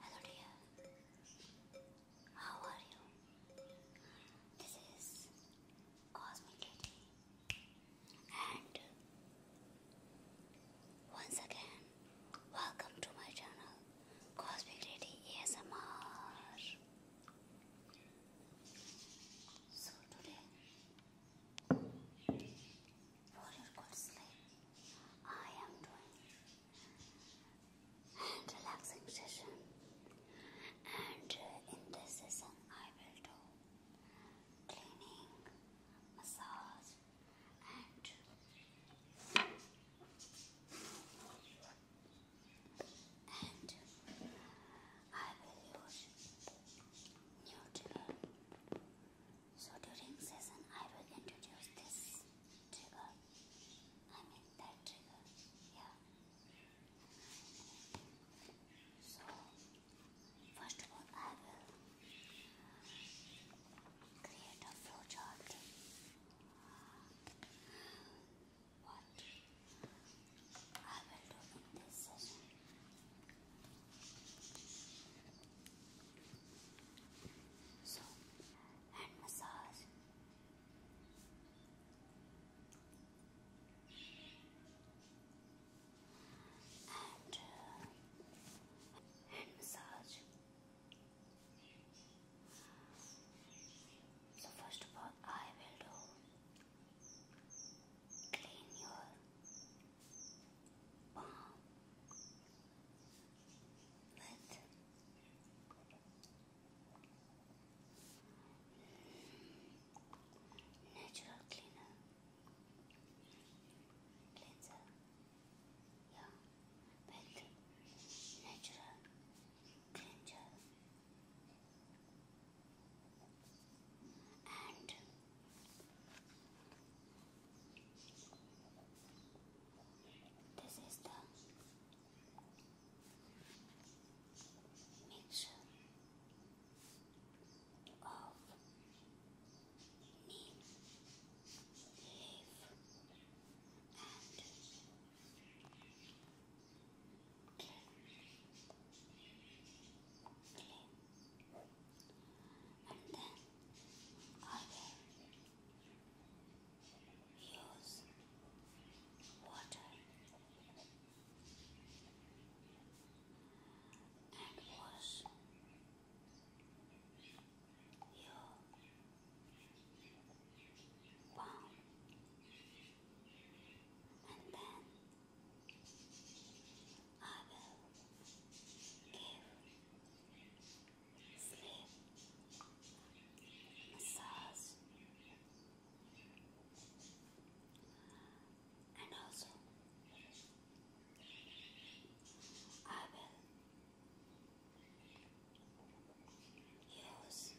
Hello, dear. How are you? This is Cosmic Lady, and once again, welcome to my channel, Cosmic Lady ASMR. So today, for your good sleep, I am doing hand relaxing session. And in this session, I will do cleaning, massage, and and I will use neutral. So during session, I will introduce this trigger. I mean that trigger. Yeah. So first of all, I will create a flowchart what I will do in this session. So, hand massage. And hand massage. So first of all, I will do Clean your palm with natural cleaner cleanser. Yeah, with natural cleanser and this is the mixture of neem leaf and clean. And then I use water and wash your palm and then I will give sleep massage and also I will use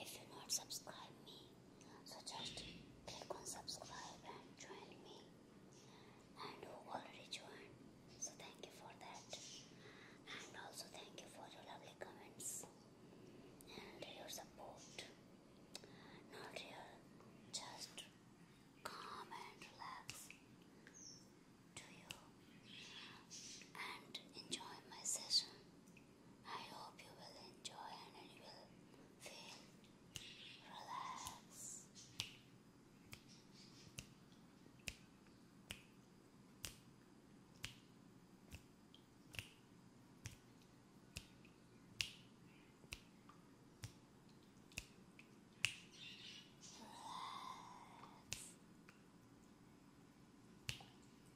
if you not subscribe me so just click on subscribe and join me and who already joined so thank you for that and also thank you for your lovely comments and your support not real just calm and relax you and enjoy my session I hope you will enjoy and you will feel relaxed.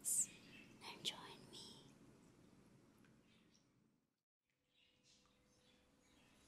Relax and join me.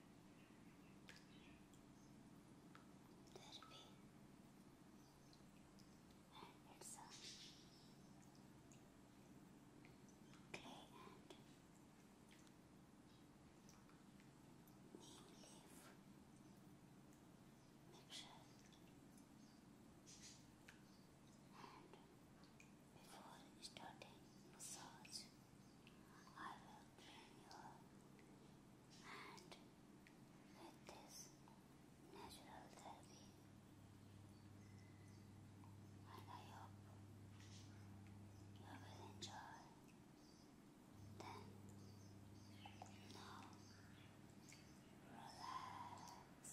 Could be. And it's clay and neem mixture. And before starting massage, I will drain your hand with this natural therapy. I hope you will enjoy. Then, now, relax.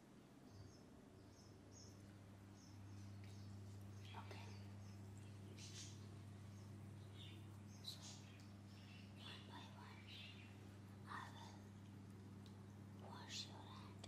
Okay. So, one by one, I will wash your hand.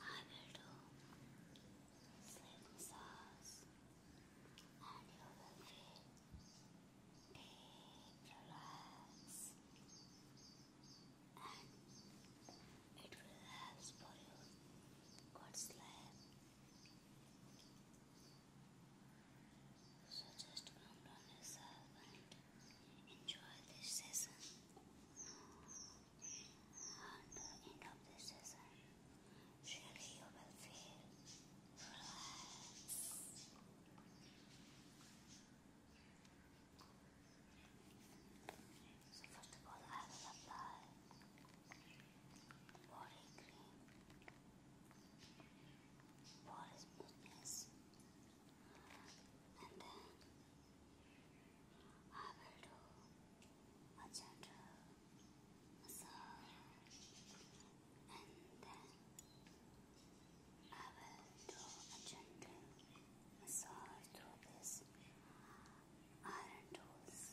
I will do slim sauce and you will feel deep relax and it will for you good sleep. So just calm down yourself and enjoy this season. At the end of this season, surely you will feel So first of all, I will apply body cream, body smoothness and then I will do a gentle massage and then I will do a gentle massage through this iron tools.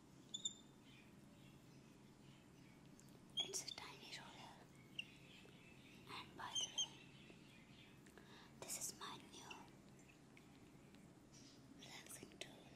It's a tiny roller. And by the way, this is my new relaxing tool.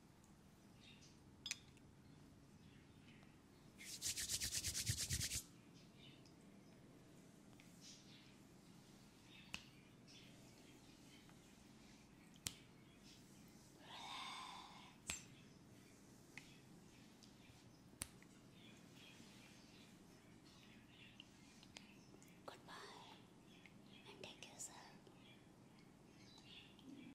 Goodbye and take care